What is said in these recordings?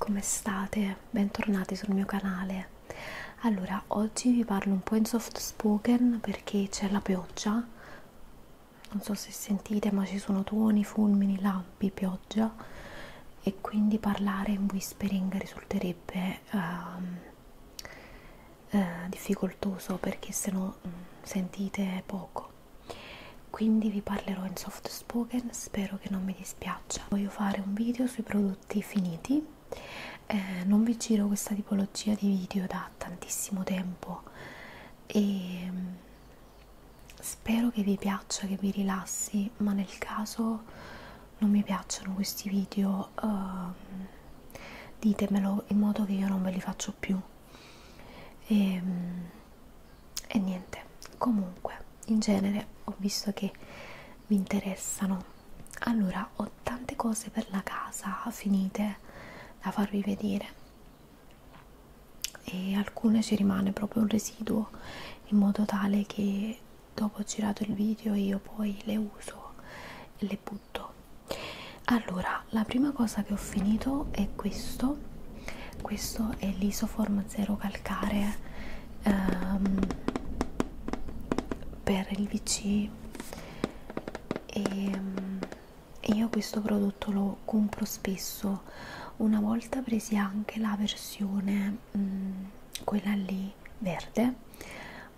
Come state? Bentornati sul mio canale. Allora, oggi vi parlo un po' in soft spoken perché c'è la pioggia. Non so se sentite, ma ci sono tuoni, fulmini, lampi, pioggia e quindi parlare in whispering risulterebbe um, eh, difficoltoso perché se no mh, mm, sentite poco. Quindi vi parlerò in soft Spoken spero che non mi dispiaccia voglio fare un video sui prodotti finiti eh, non vi giro questa tipologia di video da tantissimo tempo e mm, spero che vi piaccia che vi rilassi ma nel caso non mi piacciono questi video eh, ditemelo in modo che io non ve li faccio più e, mm, e niente comunque in genere ho visto che mi interessano allora ho tante cose per la casa finite da farvi vedere e alcune ci rimane proprio un residuo in modo tale che dopo ho girato il video io poi le uso e le butto allora la prima cosa che ho finito è questo questo è l'isoform 0 calcare ehm, per il VC e, ehm, e io questo prodotto lo compro spesso una volta presi anche la versione mh, quella lì verde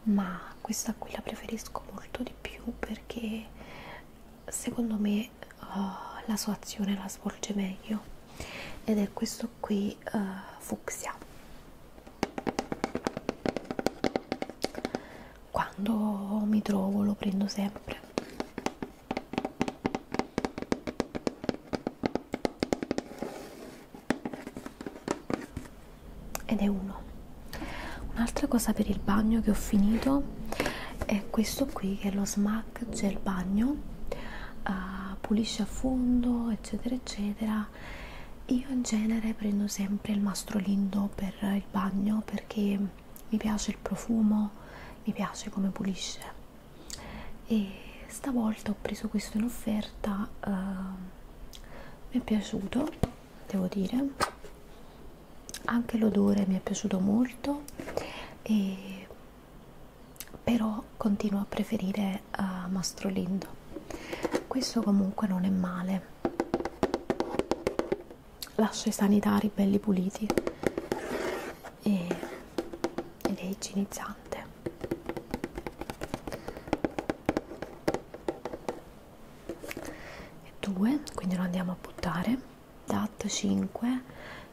ma questa qui la preferisco molto di più perché secondo me che oh, la sua azione la svolge meglio ed è questo qui uh, eh, fucsia quando mi trovo lo prendo sempre ed è uno un'altra cosa per il bagno che ho finito è questo qui che è lo, sma tac c'è il bagno uh, pulisce a fondo eccetera eccetera io in genere prendo sempre il mastrolindo per il bagno perché mi piace il profumo mi piace come pulisce e stavolta ho preso questo in offerta uh, mi è piaciuto devo dire anche l'odore mi è piaciuto molto e però continuo a preferire uh, eh, Mastrolindo. Questo comunque non è male. Lascia i sanitari belli puliti e, ed è igienizzante. E due, quindi lo andiamo a buttare. DAT esatto, 5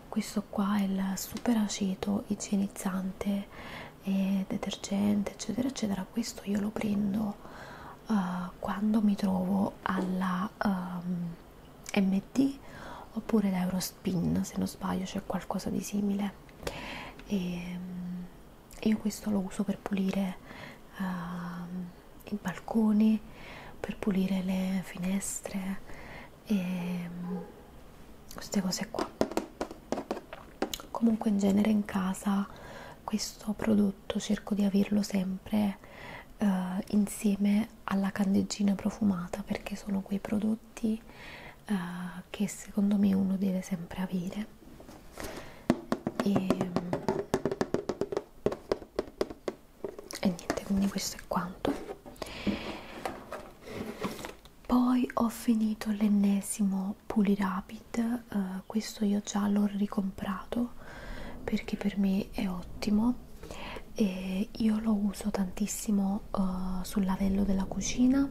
questo qua è il super aceto igienizzante e detergente eccetera eccetera questo io lo prendo uh, quando mi trovo alla um, ehm, MD oppure da Eurospin se non sbaglio c'è qualcosa di simile e um, io questo lo uso per pulire uh, i balconi per pulire le finestre e ehm, queste cose qua comunque in genere in casa questo prodotto cerco di averlo sempre eh, insieme alla candeggina profumata perché sono quei prodotti eh, che secondo me uno deve sempre avere e ehm, e niente quindi questo è quanto poi ho finito l'ennesimo pulirapid eh, questo io già l'ho ricomprato perché per me è ottimo e io lo uso tantissimo uh, sul lavello della cucina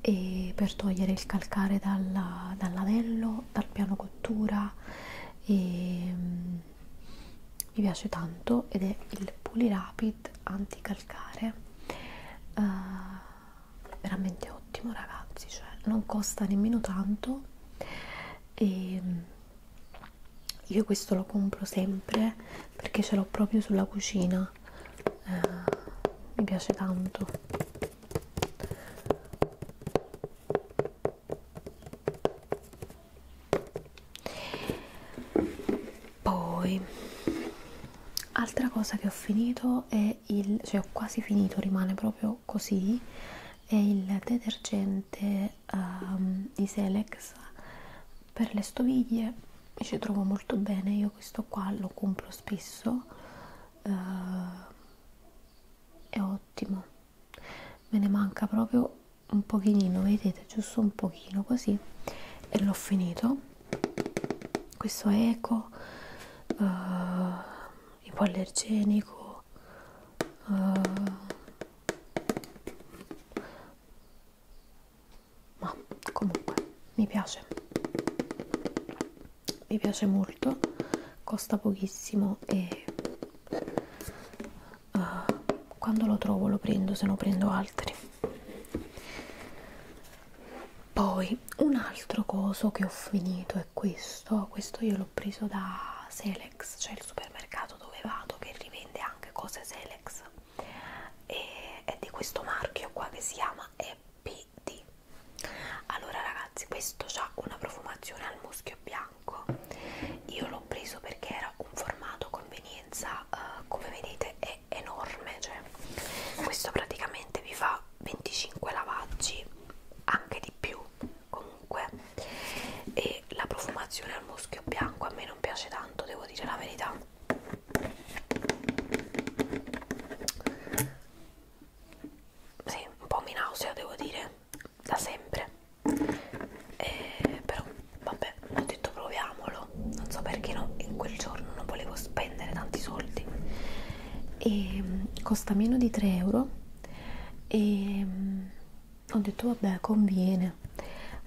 e per togliere il calcare dalla, dal lavello, dal piano cottura e um, mi piace tanto ed è il Pulirapid anticalcare uh, veramente ottimo ragazzi cioè non costa nemmeno tanto e ehm, io questo lo compro sempre perché ce l'ho proprio sulla cucina uh, mi piace tanto poi altra cosa che ho finito è il cioè ho quasi finito rimane proprio così è il detergente um, di Selex per le stoviglie ci trovo molto bene io questo qua lo compro spesso uh, è ottimo me ne manca proprio un pochino vedete giusto un pochino così e l'ho finito questo è eco uh, eh, ipoallergenico uh, eh, ma comunque mi piace mi piace molto costa pochissimo e uh, quando lo trovo lo prendo se no prendo altri poi un altro coso che ho finito è questo questo io l'ho preso da Selex cioè il supermercato dove vado che rivende anche cose Selex e è di questo marchio qua che si chiama EPD allora ragazzi questo ha una profumazione al muschio bianco bianco io l'ho preso perché era un formato convenienza uh, come vedete è enorme cioè questo praticamente vi fa 25 lavaggi anche di più comunque e la profumazione al muschio bianco a me non piace tanto devo dire la verità sì un po' mi nausea devo dire da sempre e, però vabbè ho detto proviamolo non so perché no in quel giorno non volevo spendere tanti soldi e costa meno di 3 euro e ho detto vabbè conviene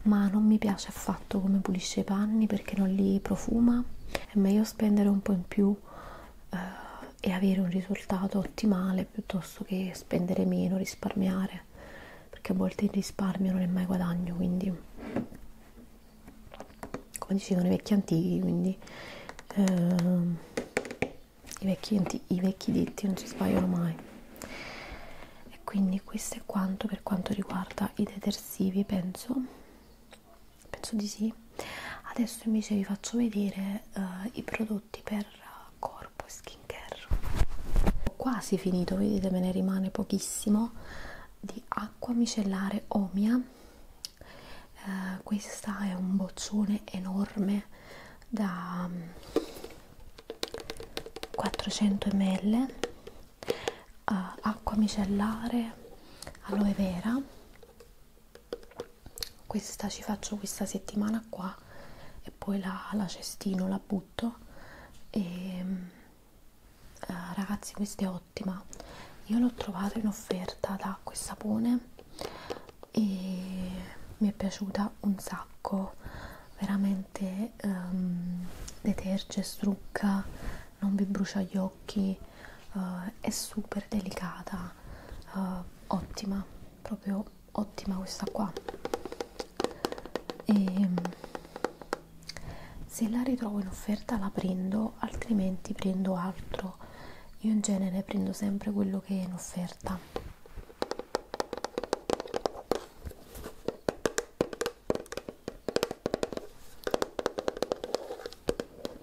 ma non mi piace affatto come pulisce i panni perché non li profuma è meglio spendere un po' in più eh, e avere un risultato ottimale risparmiare piuttosto che spendere meno, risparmiare perché a volte il risparmio non è mai guadagno quindi come dicevano i vecchi antichi quindi eh, i, vecchi anti i vecchi detti non si sbagliano mai e quindi questo è quanto per quanto riguarda i detersivi penso penso di sì adesso invece vi faccio vedere eh, i prodotti prodotti per corpo e skincare ho quasi finito vedete me ne rimane pochissimo di acqua micellare omia eh, questa è un boccione enorme da 400 mm, ml eh, acqua micellare aloe vera questa ci faccio questa settimana qua e poi la, la cestino, la butto e ehm, eh, ragazzi questa è ottima io l'ho trovata in offerta da questo sapone e mi è piaciuta un sacco veramente um, ehm, deterge, strucca non vi brucia gli occhi uh, è super delicata uh, ottima proprio ottima questa qua e mm, se la ritrovo in offerta la prendo altrimenti prendo altro io in genere prendo sempre quello che è in offerta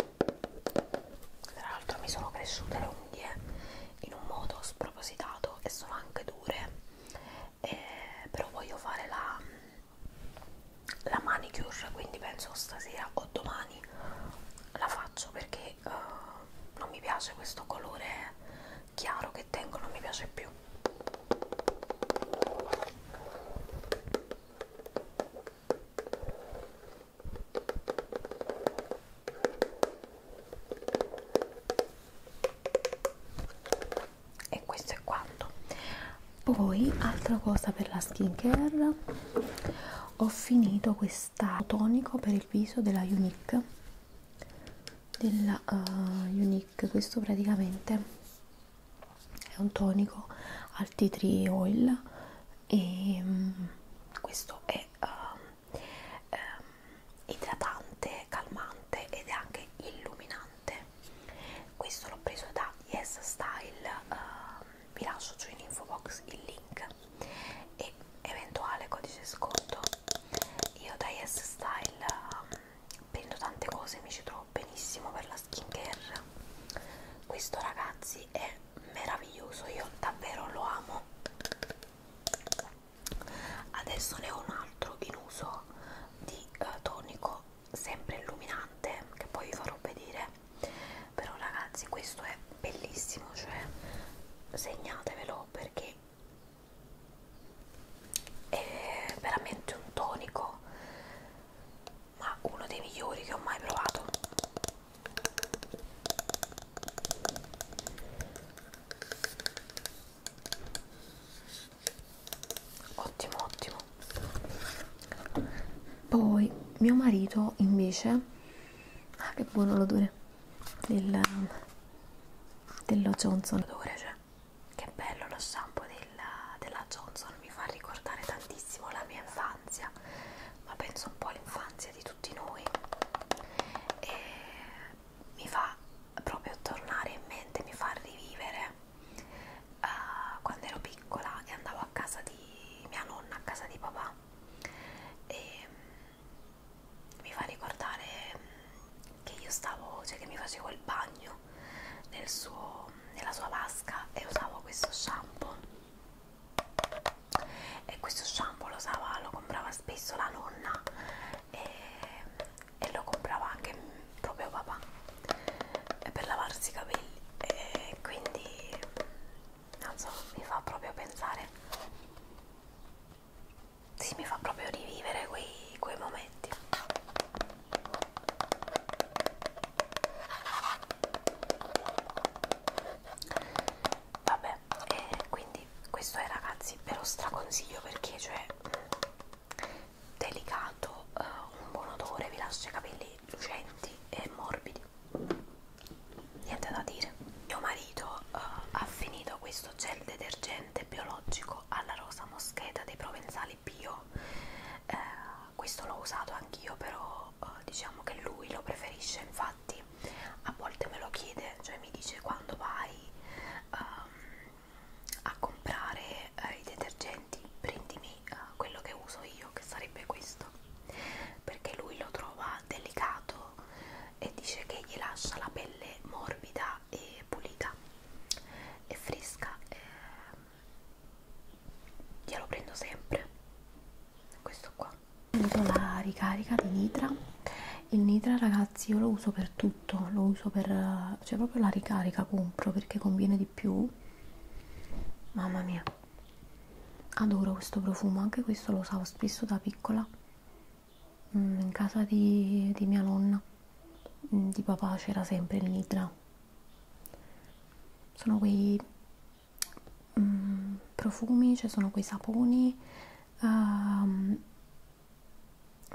tra l'altro mi sono cresciute le unghie in un modo spropositato e sono anche dure e eh, però voglio fare la, la manicure quindi penso stasera o domani la faccio perché uh, non mi piace questo colore chiaro che tengo non mi piace più e questo è quanto poi altra cosa per la skincare ho finito questo tonico per il viso della Unique della uh, Unique questo praticamente è un tonico al tea tree oil e um, questo è um, um, idratante, calmante ed è anche illuminante. Questo l'ho preso da Yes Style, um, vi lascio giù in info box il link e eventuale codice sconto. Io da Yes Style um, prendo tante cose, mi ci trovo benissimo per la skin care. Questo ragazzi è è meraviglioso io davvero lo amo adesso ne ho un altro in uso di uh, tonico sempre illuminante che poi vi farò vedere però ragazzi questo è bellissimo cioè segnatevelo perché è veramente un tonico ma uno dei migliori che ho mai provato ottimo ottimo poi mio marito invece ah che buono l'odore del um, dello Johnson odore cioè che bello lo shampoo della, della Johnson mi fa ricordare tantissimo la mia infanzia ma penso un po' all'infanzia di tutti noi e mi fa proprio tornare in mente, mi fa rivivere uh, quando ero piccola e andavo a casa di mia nonna, a casa di papà e um, mi fa ricordare mm, che io stavo, cioè che mi facevo il bagno nel suo, nella sua vasca e usavo questo shampoo e questo shampoo lo, usava, lo comprava spesso la nonna e, e lo comprava anche proprio papà eh, per lavarsi i capelli e quindi non so, mi fa proprio pensare sì, mi fa proprio rivivere quei, quei momenti vabbè e eh, quindi questo è ragazzi ve lo straconsiglio perché cioè delicato eh, un buon odore vi lascia i capelli lucenti e morbidi niente da dire mio marito eh, ha finito questo gel detergente biologico alla rosa moscheta dei provenzali bio eh, questo l'ho usato anch'io però però eh, diciamo che lui lo preferisce infatti a volte me lo chiede cioè mi dice quando vai ehm, a comprare eh, i detergenti prendimi eh, quello che uso io che sarebbe questo perché lui lo trova delicato e dice che gli lascia la pelle morbida e pulita e fresca eh, glielo prendo sempre questo qua prendo la ricarica di nitra il nitra ragazzi io lo uso per tutto lo uso per eh, cioè proprio la ricarica compro perché conviene di più mamma mia adoro questo profumo anche questo lo usavo spesso da piccola mm, in casa di, di mia nonna mm, di papà c'era sempre il nitra sono quei mm, profumi, ci cioè sono quei saponi, uh,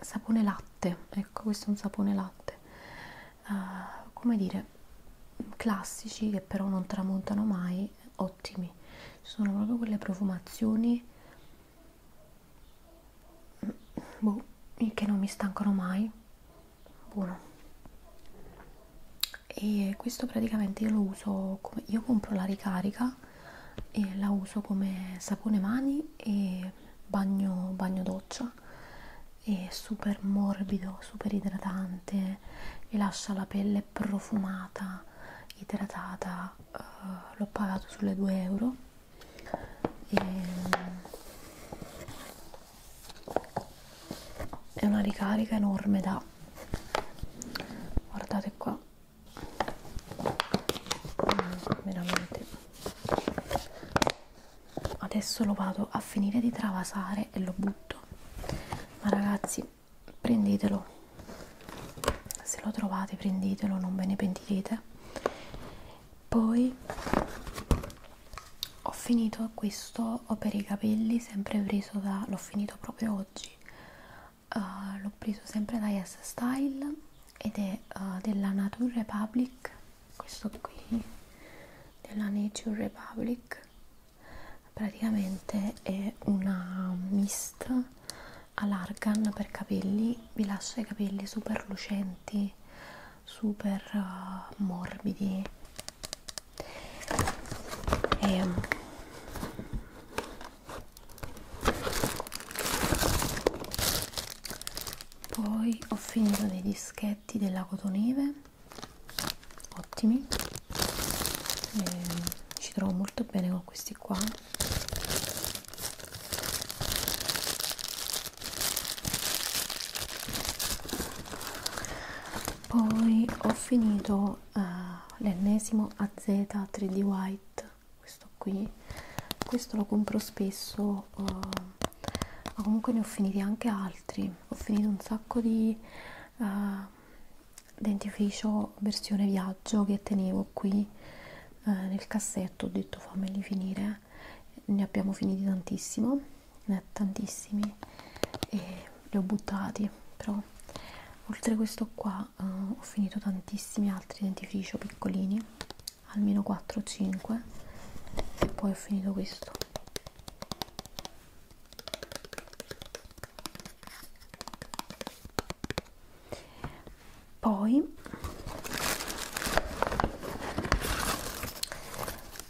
sapone latte, ecco questo è un sapone latte, uh, come dire, classici che però non tramontano mai, ottimi, ci sono proprio quelle profumazioni mm, boh, che non mi stancano mai buono e questo praticamente io lo uso come, io compro la ricarica e la uso come sapone mani e bagno, bagno doccia è super morbido super idratante e lascia la pelle profumata idratata uh, l'ho pagato sulle 2 euro e ehm, è una ricarica enorme da guardate qua mm, veramente adesso lo vado a finire di travasare e lo butto ma ragazzi prendetelo se lo trovate prendetelo non ve ne pentirete poi ho finito questo ho per i capelli sempre preso da l'ho finito proprio oggi uh, l'ho preso sempre da Yes Style ed è uh, della Nature Republic questo qui della Nature Republic praticamente è una mist all'argan per capelli vi lascia i capelli super lucenti super uh, morbidi e, um, poi ho finito dei dischetti della cotonive ottimi e mm, ci trovo molto bene con questi qua poi ho finito uh, l'ennesimo AZ 3D White questo qui questo lo compro spesso uh, ma comunque ne ho finiti anche altri ho finito un sacco di uh, dentifricio versione viaggio che tenevo qui uh, nel cassetto ho detto fammeli finire ne abbiamo finiti tantissimo ne ha tantissimi e li ho buttati però oltre a questo qua eh, ho finito tantissimi altri dentifricio piccolini almeno 4 o 5 e poi ho finito questo poi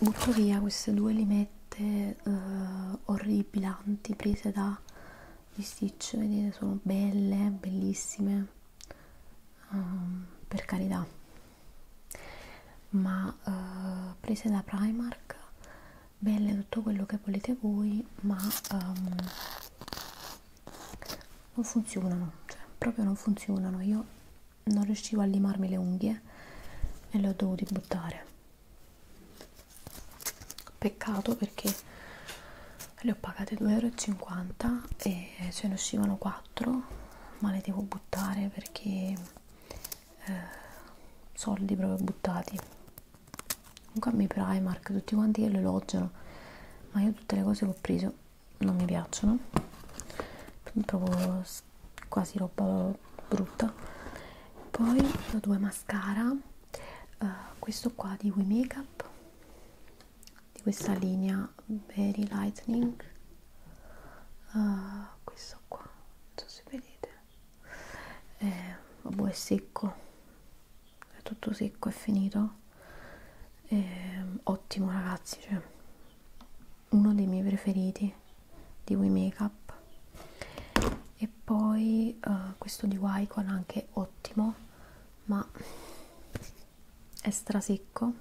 butto via queste due limette eh, orribilanti prese da di Stitch, vedete sono belle, bellissime um, per carità ma uh, prese da Primark belle tutto quello che volete voi ma um, non funzionano, cioè proprio non funzionano io non riuscivo a limarmi le unghie e le ho dovute buttare peccato perché le ho pagate 2,50 euro e ce ne uscivano 4 ma le devo buttare perché eh, soldi proprio buttati comunque a me Primark tutti quanti che lo elogiano ma io tutte le cose che ho preso non mi piacciono trovo quasi roba brutta poi ho due mascara uh, questo qua di We Makeup di questa linea Berry Lightning uh, questo qua non so se vedete eh, vabbè boh, è secco è tutto secco è finito eh, ottimo ragazzi cioè uno dei miei preferiti di We Makeup e poi uh, questo di Wycon anche ottimo ma è strasecco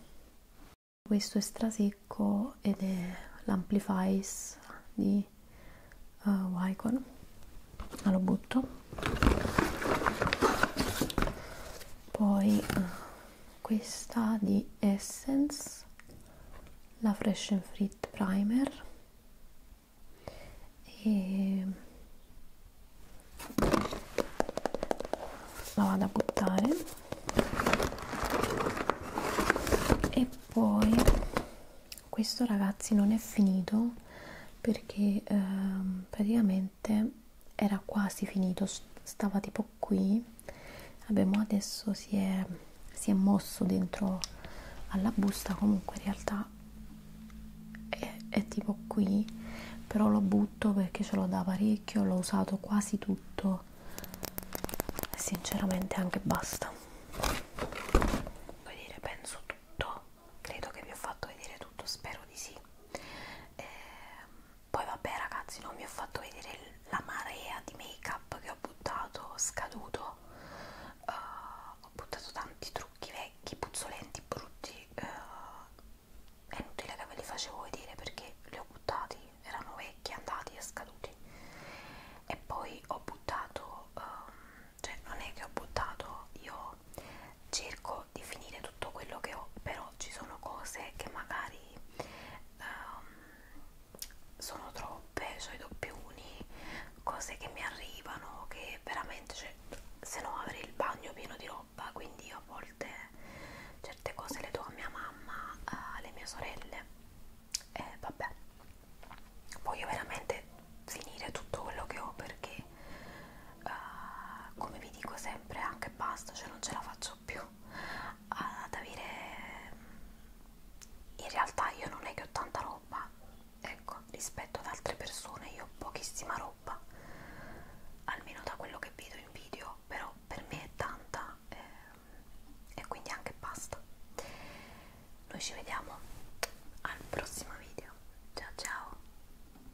questo è strasecco ed è l'amplifies di uh, Wycon ma lo butto poi uh, questa di Essence la Fresh and Frit Primer e la vado a buttare e poi questo ragazzi non è finito perché eh, praticamente notte era quasi finito stava tipo qui abbiamo adesso si è, si è mosso dentro alla busta comunque in realtà è, è tipo qui però lo butto perché ce l'ho da parecchio l'ho usato quasi tutto e sinceramente anche basta vuoi dire penso tutto credo che vi ho fatto vedere tutto spero di sì eh, poi vabbè ragazzi non vi ho fatto vedere la marea di make up che ho buttato scaduto uh, ho buttato tanti trucchi vecchi puzzolenti brutti uh, è inutile che ve li facevo vedere perché li ho buttati erano vecchi andati e scaduti e poi ho buttato um, cioè non è che ho buttato io no cerco di finire tutto quello che ho però ci sono cose che magari um, sono troppe sono cioè i doppioni cose che mi arrivano che veramente cioè, se no avrei il bagno pieno di roba quindi io a volte certe cose le do a mia mamma alle mie sorelle e eh, vabbè voglio veramente finire tutto quello che ho perché perché uh, come vi dico sempre anche basta, cioè non ce la faccio più ad avere in realtà io non è che ho tanta roba ecco rispetto ad altre persone io ho pochissima roba almeno da quello che vedo in video però per me è tanta eh, e quindi anche basta noi ci vediamo al prossimo video ciao ciao